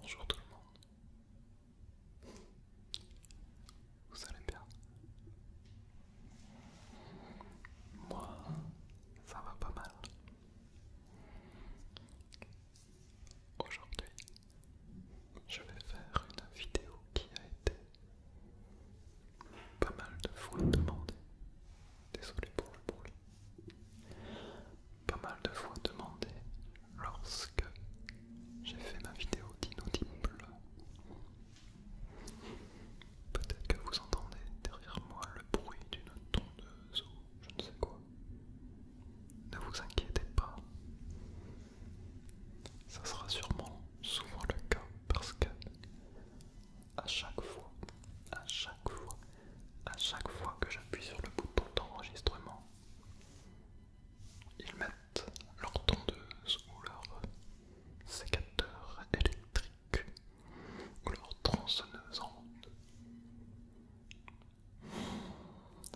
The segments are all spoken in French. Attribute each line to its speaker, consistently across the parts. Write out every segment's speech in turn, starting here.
Speaker 1: Bonjour tout le monde. Vous allez bien Moi, ça va pas mal. Aujourd'hui, je vais faire une vidéo qui a été pas mal de fois demandée. Désolé pour le bruit pas mal de fois demandé lorsque j'ai fait ma vidéo d'inaudible. Peut-être que vous entendez derrière moi le bruit d'une tondeuse ou je ne sais quoi. Ne vous inquiétez pas. Ça sera sûrement souvent le cas parce que à chaque fois, à chaque fois, à chaque fois que j'appuie sur le bouton d'enregistrement, ils mettent leur tondeuse ou leur sécateur électrique ou leur tronçonneuse en route.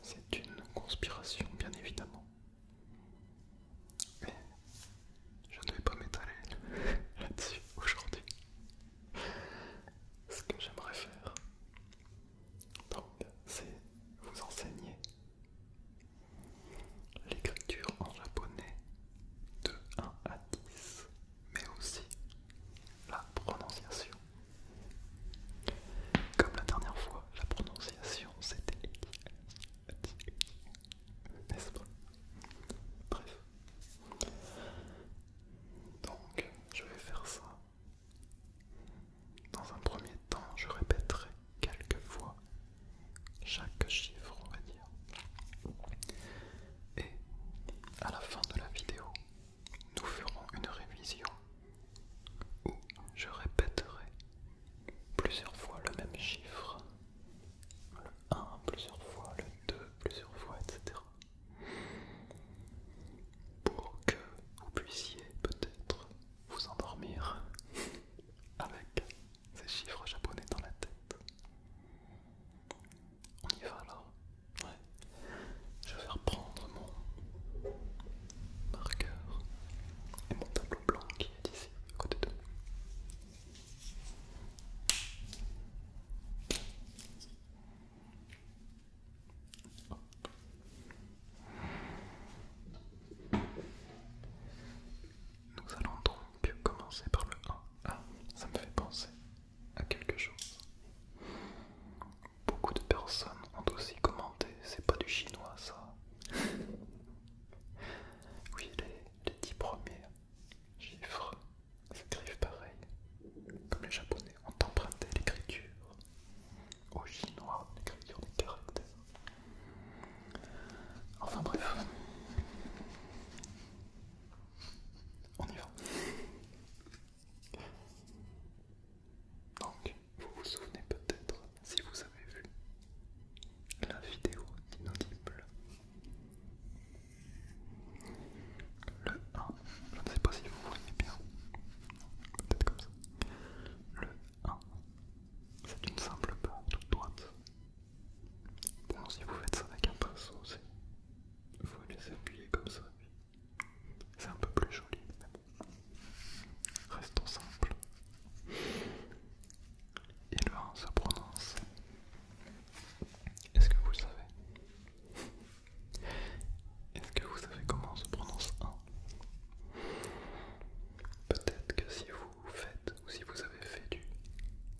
Speaker 1: C'est une conspiration, bien évidemment. Mais je ne vais pas m'étaler là-dessus aujourd'hui. Ce que j'aimerais faire, c'est vous enseigner l'écriture en japonais de 1 à 10, mais aussi la prononciation. Comme la dernière fois, la prononciation c'était n'est-ce pas Bref, donc, je vais faire ça. Dans un premier temps, je répéterai quelques fois chaque chiffre, on va dire. Et à la fin de la vidéo, nous ferons une révision où je répéterai plusieurs fois le même chiffre le 1 plusieurs fois, le 2 plusieurs fois, etc. Pour que vous puissiez peut-être vous endormir avec ces chiffres japonais dans la tête. On y va alors Ouais. Je vais reprendre mon marqueur et mon tableau blanc qui est ici à côté de nous. Nous allons donc commencer par le 1. Ah, ça me fait penser à quelque chose. Beaucoup de personnes ont aussi commenté, c'est pas du chinois ça. oui, les, les 10 premiers chiffres écrivent pareil, comme les japonais ont emprunté l'écriture aux chinois, l'écriture des caractères. Enfin bref, on y va. Donc, vous vous souvenez peut-être, si vous avez vu la vidéo inaudible le 1, je ne sais pas si vous voyez bien, peut-être comme ça. Le 1, c'est une simple barre toute droite. Bon, si vous faites ça avec un pinceau, vous pouvez les appuyer comme ça. C'est un peu plus joli, Restons simples. Et le 1 se prononce est-ce que vous le savez Est-ce que vous savez comment on se prononce un Peut-être que si vous faites ou si vous avez fait du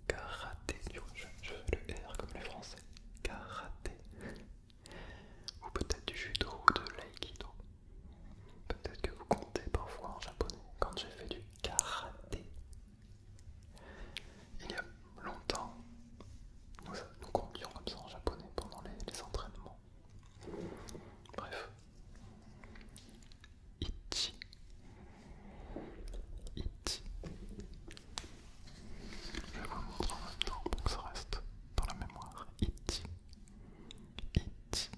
Speaker 1: karaté, du je, fais le R comme les Français, karaté, ou peut-être du judo ou de l'aïkido. Peut-être que vous comptez parfois en japonais. Quand j'ai fait du karaté, il y a longtemps, nous, nous conduions comme ça en japonais pendant les, entraînements. Bref. Ichi. Ichi. Je vais vous montrer en même temps pour que ça reste dans la mémoire. Ichi. Ichi.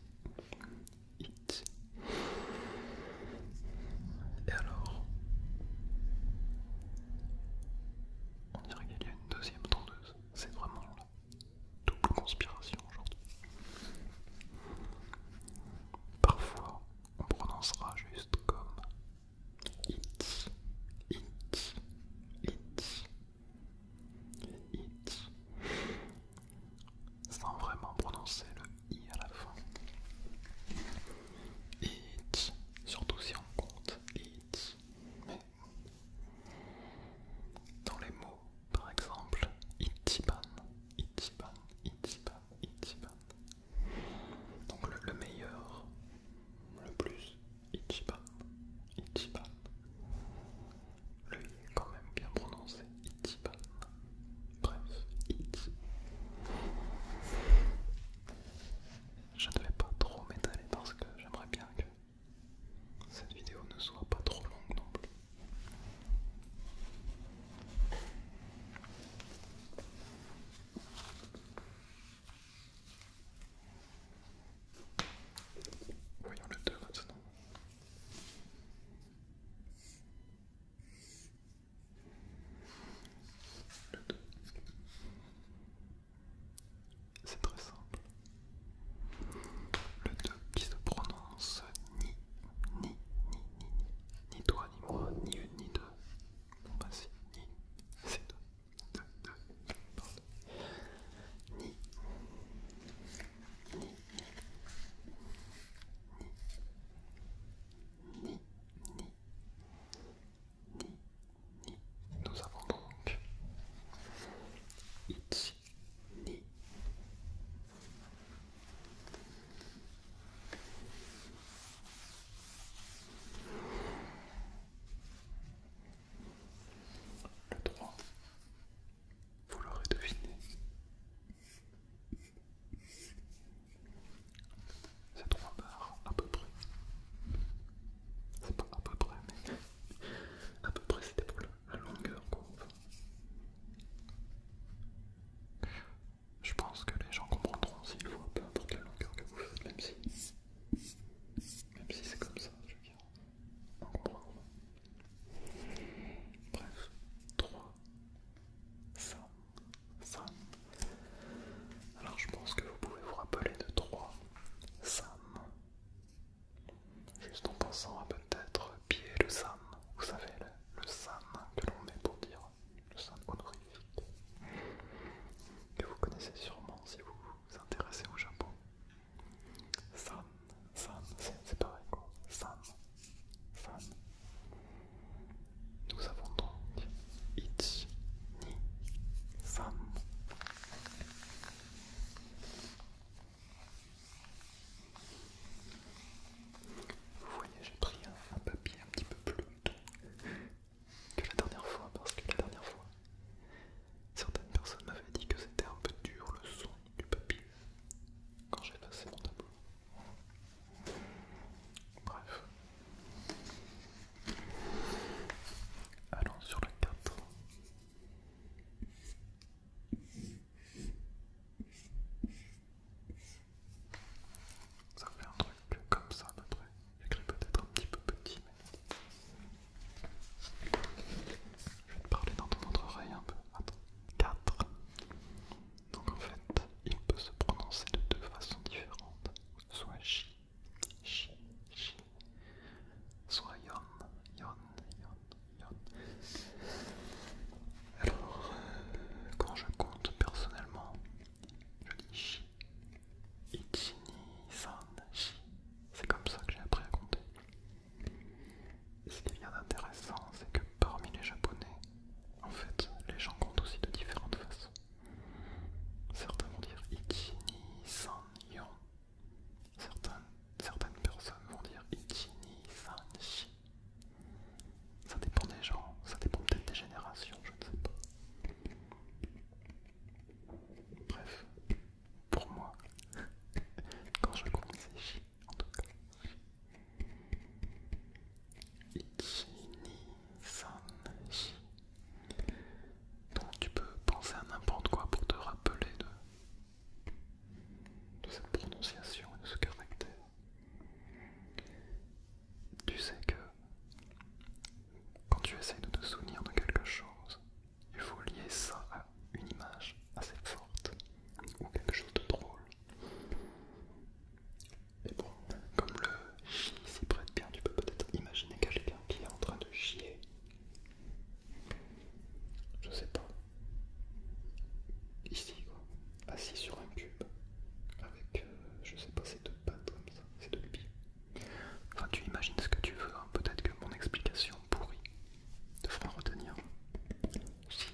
Speaker 1: Ichi. Et alors On dirait qu'il y a une deuxième tondeuse. C'est vraiment la double conspiration aujourd'hui. Parfois, on prononcera juste comme it, it, it sans vraiment prononcer le i à la fin. It, surtout si on compte it. Mais dans les mots, par exemple, itiban, itiban, itiban, itiban. Donc le, meilleur, le plus, itiban, itiban. Le i est quand même bien prononcé. Bref, Je ne vais pas trop m'étaler parce que j'aimerais bien que cette vidéo ne soit pas trop longue non plus. Voyons le 2 maintenant. C'est très simple. Le deux qui se prononce ni, ni, ni, ni, ni, toi, ni moi, ni une, ni deux. Bah, ni, c'est ni, ni, ni, ni, Nous avons donc ni. Le droit, vous l'aurez deviné. C'est 3 barres, à peu près. C'est pas à peu près, mais à peu près c'était pour la longueur courbe. Je pense que les gens comprendront s'ils voient peu importe la longueur que vous faites, même si, même si c'est comme ça, je veux on Bref, 3 Sam, sam. Alors je pense que vous pouvez vous rappeler de trois Sam. Juste en pensant à peut-être pied le Sam. Vous savez, le, Sam que l'on met pour dire le Sam honorifique. Que vous connaissez sûrement si vous vous intéressez au Japon. Sam, Sam, c'est pareil quoi. Sam, femme. Nous avons donc it ni femme. Vous voyez, j'ai pris un, papier un petit peu plus que la dernière fois parce que la dernière fois, certaines personnes m'avaient dit que c'était un peu dur le son du papier quand j'ai passé mon tableau. Bref. Allons sur le 4. Ça fait un truc comme ça notre. J'écris peut-être un petit peu petit, mais. Je vais te parler dans ton autre oreille un peu. Attends. 4. Donc en fait, il peut se prononcer de deux façons différentes. Soit chi, chi, chi, soit yon, yon, yon, yon. Alors, euh, quand je compte personnellement, je dis chi. Ichini-san, chi. C'est comme ça que j'ai appris à compter. ce qui est bien d'intéressant, c'est que parmi les japonais, en fait, les gens comptent aussi de différentes façons. Certains vont dire ichi ni san yon. Certaines, personnes vont dire ichi ni san shi. Ça dépend des gens, ça dépend peut-être des générations, je ne sais pas. Bref, pour moi, quand je compte c'est chi en tout cas. Donc tu peux penser à n'importe quoi pour te rappeler de, de cette prononciation et de ce caractère. Tu sais que quand tu essayes de te souvenir de quelque chose, il faut lier ça à une image assez forte ou quelque chose de drôle mais bon, comme le chie » s'y prête bien, tu peux peut-être imaginer quelqu'un qui est en train de chier. Je sais pas. Ici quoi, assis sur un cube, avec euh, je sais pas ces deux pattes comme ça, ces deux pieds. Enfin tu imagines ce que tu veux, hein. peut-être que mon explication pourrie te fera retenir. Si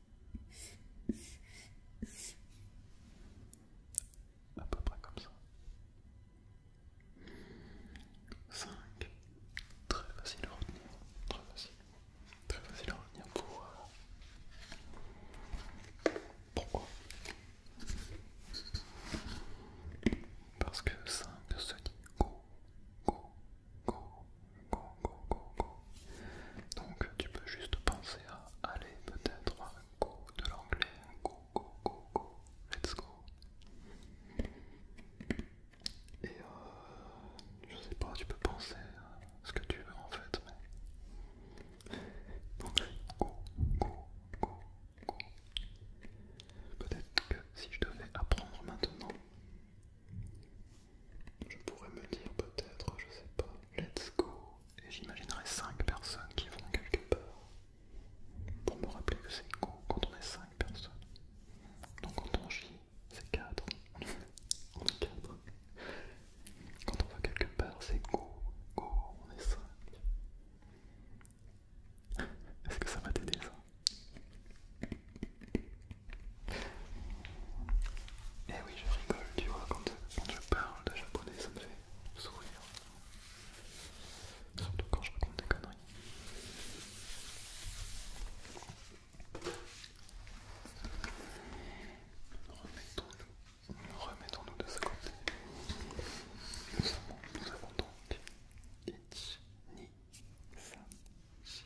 Speaker 1: À peu près comme ça. 5. Très facile à retenir. Très facile. Très facile à retenir pour... Pourquoi Parce que 5 se dit go, go, go, go, go, go, go. Donc tu peux juste penser à aller peut-être go de l'anglais, go, go, go, go, let's go. Et euh, je sais pas, tu peux penser à ce que tu veux en fait, mais. Donc go, go, go, go. Peut-être que si je devais apprendre maintenant, je pourrais me dire peut-être, je sais pas, let's go, et j'imaginerais 5 personnes qui vont quelque part pour me rappeler que c'est go quand on est 5 personnes. Donc quand on chie, c'est 4. on est 4. Quand on va quelque part, c'est go, go, on est 5. Est-ce que ça va t'aider ça eh oui, je rigole, tu vois, quand, je parle de japonais, ça me fait sourire. Surtout quand je raconte des conneries. Remettons-nous de ce côté. Nous avons, nous avons donc Ichi, Ni, San, Shi,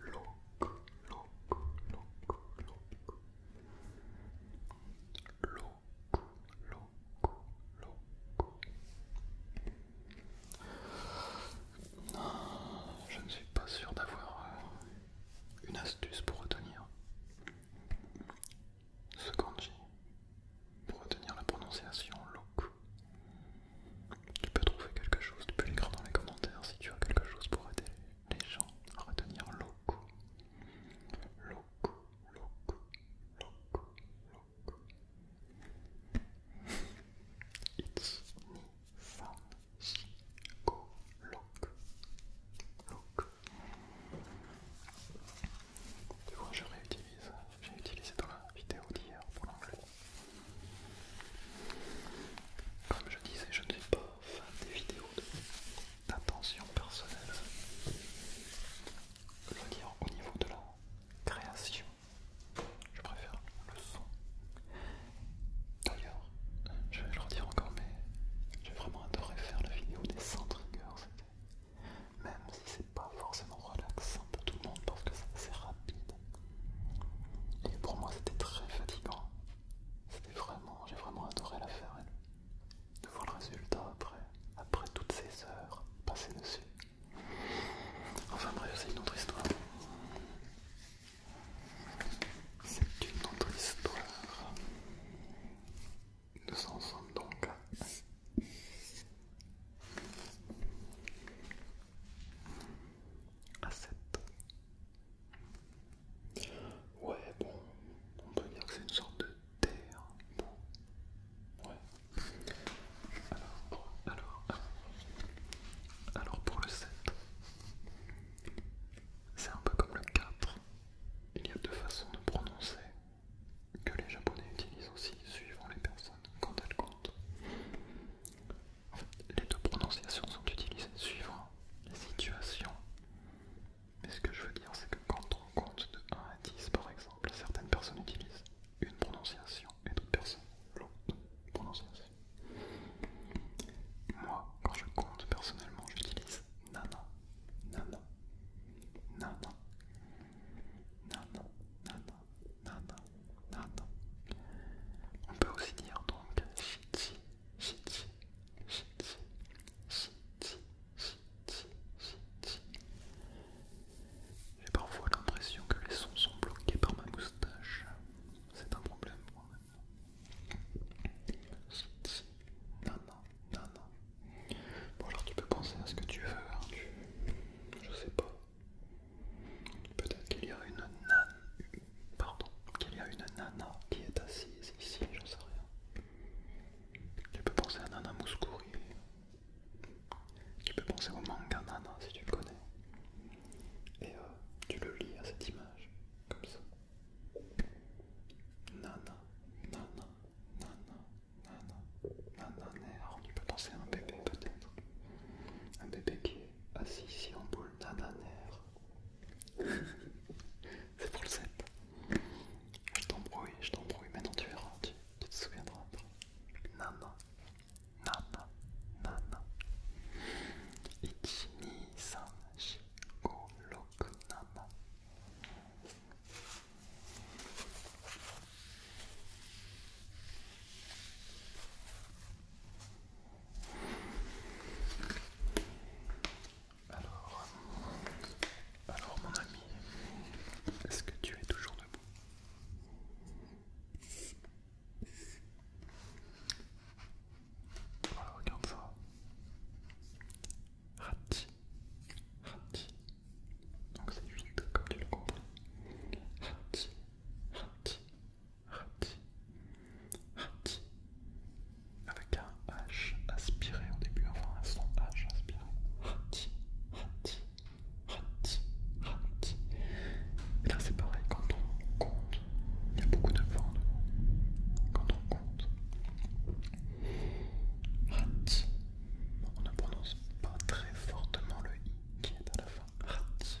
Speaker 1: LOKU. je ne suis pas sûr d'avoir euh, une astuce pour retenir ce kanji, pour retenir la prononciation loc. Tu peux trouver quelque chose, tu peux l'écrire dans les commentaires si tu as quelque chose pour aider les gens à retenir loco. Loco, loco, loco, loco. It's ni, fun, she, go, loco, loco. Tu vois, je réutilise, j'ai utilisé dans la vidéo d'hier pour l'anglais. Comme je disais, je n'ai pas fan des vidéos d'attention personnelle. Je dire, au niveau de la création, je préfère le son. D'ailleurs, je vais le redire encore, mais j'ai vraiment adoré faire la vidéo des 100 triggers. Même si c'est pas forcément relaxant pour tout le monde parce que c'est assez rapide. Et pour moi c'était très fatigant c'était vraiment, j'ai vraiment adoré la faire. de voir le résultat après, après toutes ces heures passées dessus. Enfin bref, c'est une autre histoire. C'est une autre histoire. Nous en sommes donc à 7. Ouais, bon, on peut dire que c'est une sorte de terre. ouais. Alors, alors, alors, alors pour le 7, c'est un peu comme le 4. Il y a deux façons de prononcer que les japonais utilisent aussi suivant les personnes quand elles comptent les deux prononciations sont utilisées suivant les situations. Mais ce que je veux dire, c'est que quand on compte de 1 à 10, par exemple, certaines personnes utilisent une prononciation et d'autres personnes l'autre prononciation. Moi, quand je compte personnellement, j'utilise nana, nana, nana, nana, nana, non. On peut aussi dire donc J'ai parfois l'impression que les sons sont bloqués par ma moustache. C'est un problème pour même. Non non Bon alors tu peux penser à ce que tu veux, hein. je sais pas. Peut-être qu'il y a une nana, pardon, qu'il y a une nana qui est assise ici, j'en sais rien. Tu peux penser à Nana Mouskouri. Tu peux penser au manga Nana si tu le connais. Et tu le lis à cette image, comme ça. Nana, nana, nana, nana, nana, tu peux penser à un bébé peut-être. Un bébé qui est Assis ah ici en boule, nananère. C'est pour le 7. Je t'embrouille, je t'embrouille, maintenant tu verras, tu te souviendras pas. Nana, nana, nana. 1, 2, 3, 4, 5, 6, 7. Alors, alors mon ami, est-ce que tu es toujours debout Voilà, regarde ça. Rati, rati. Donc c'est 8 comme tu le comprends. Rati, rati, Rati. Hum, hum, hum. Avec un H aspiré au début, enfin un son H aspiré. Rati. Et là c'est pareil, quand on compte, il y a beaucoup de vent Quand on compte. Rati. On ne prononce pas très fortement le i qui est à la fin. Rati.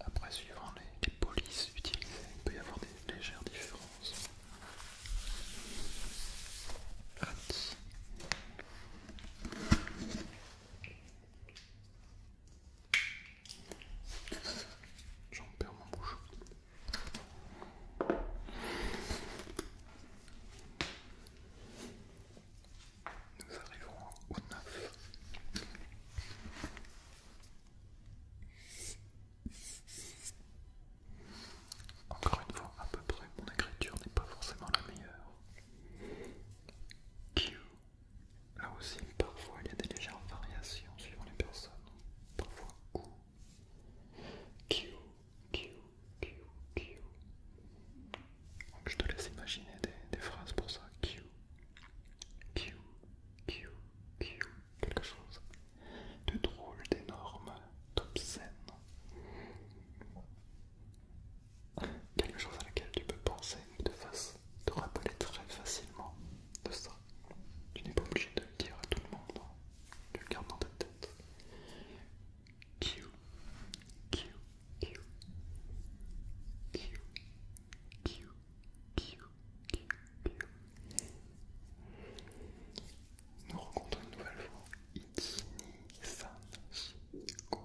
Speaker 1: Après, suivant les, polices utilisées, il peut y avoir des légères différences. J'en perds mon bouche nous arriverons au 9. Encore une fois, à peu près, mon écriture n'est pas forcément la meilleure. Q. Là aussi, parfois, il y a des légères variations suivant les personnes. Parfois, Q. Q, Q, Q, Q je te laisse imaginer des, phrases pour ça. Q, Q, Q, Q, quelque chose de drôle, d'énorme, d'obscène. Quelque chose à laquelle tu peux penser qui te, te rappeler très facilement de ça. Tu n'es pas obligé de le dire à tout le monde, hein. tu le gardes dans ta tête. Q, Q, nous rencontrons une nouvelle fois Ichi-ni-san shigo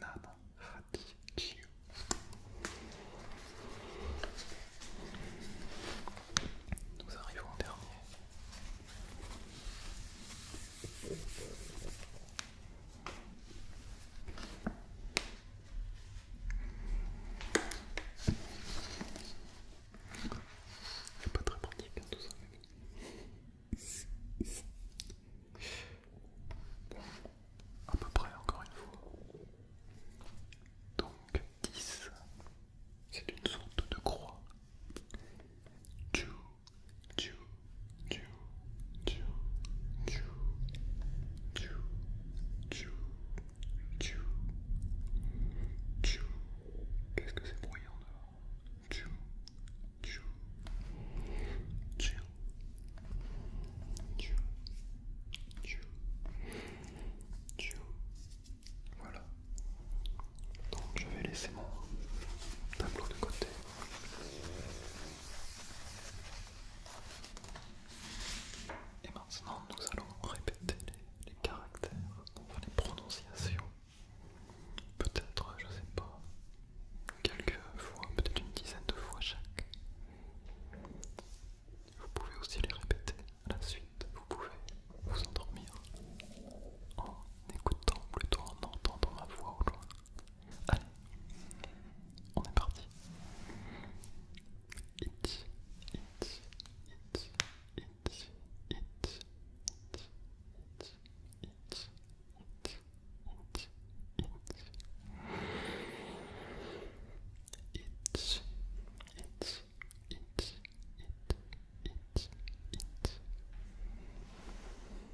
Speaker 1: nana hachi Nous arrivons en dernier. C'est pas très pratique hein, tout ça. Bon, à peu près encore une fois. Donc 10, c'est une sorte de croix. 2, tchou, tchou, tchou, tchou, tchou, tchou, tchou, tchou. Qu'est-ce que c'est bruyant dehors Tchou, tchou, tchou, tchou, tchou, tchou. Voilà. Donc je vais laisser mon tableau de côté. Et maintenant, nous allons répéter les, caractères, enfin les prononciations. Peut-être, je sais pas, quelques fois, peut-être une dizaine de fois chaque. Vous pouvez aussi les répéter à la suite, vous pouvez vous endormir en écoutant, plutôt en entendant ma voix au loin. Allez, on est parti.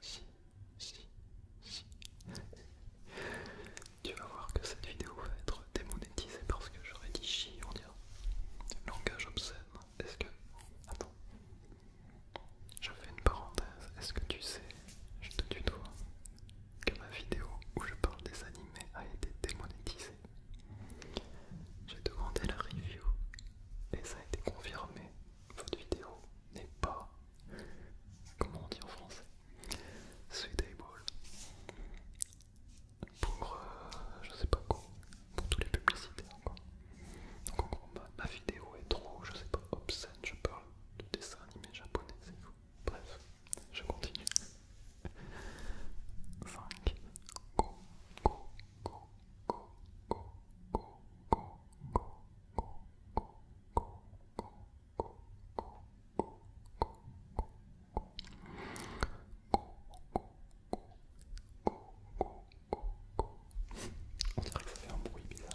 Speaker 1: si, si, si. Tu vas voir que cette vidéo va être démonétisée parce que j'aurais dit chi on dire langage obscène. Est-ce que. Attends. Je fais une parenthèse. Est-ce que tu sais, je te tutoie, que ma vidéo où je parle des animés a été démonétisée J'ai demandé la review et ça a été confirmé. Votre vidéo n'est pas comment on dit en français Sweetable. pour je sais pas quoi, pour tous les publicités quoi. Donc en ma, vidéo est trop, je sais pas, obscène, je parle de dessin animé japonais, c'est Bref, je continue. 5 go go go go go go go go go go go on dirait que ça fait un bruit bizarre.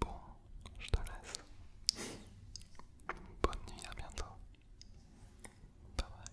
Speaker 1: Bon, je te laisse. Bonne nuit, à bientôt. Bye bye.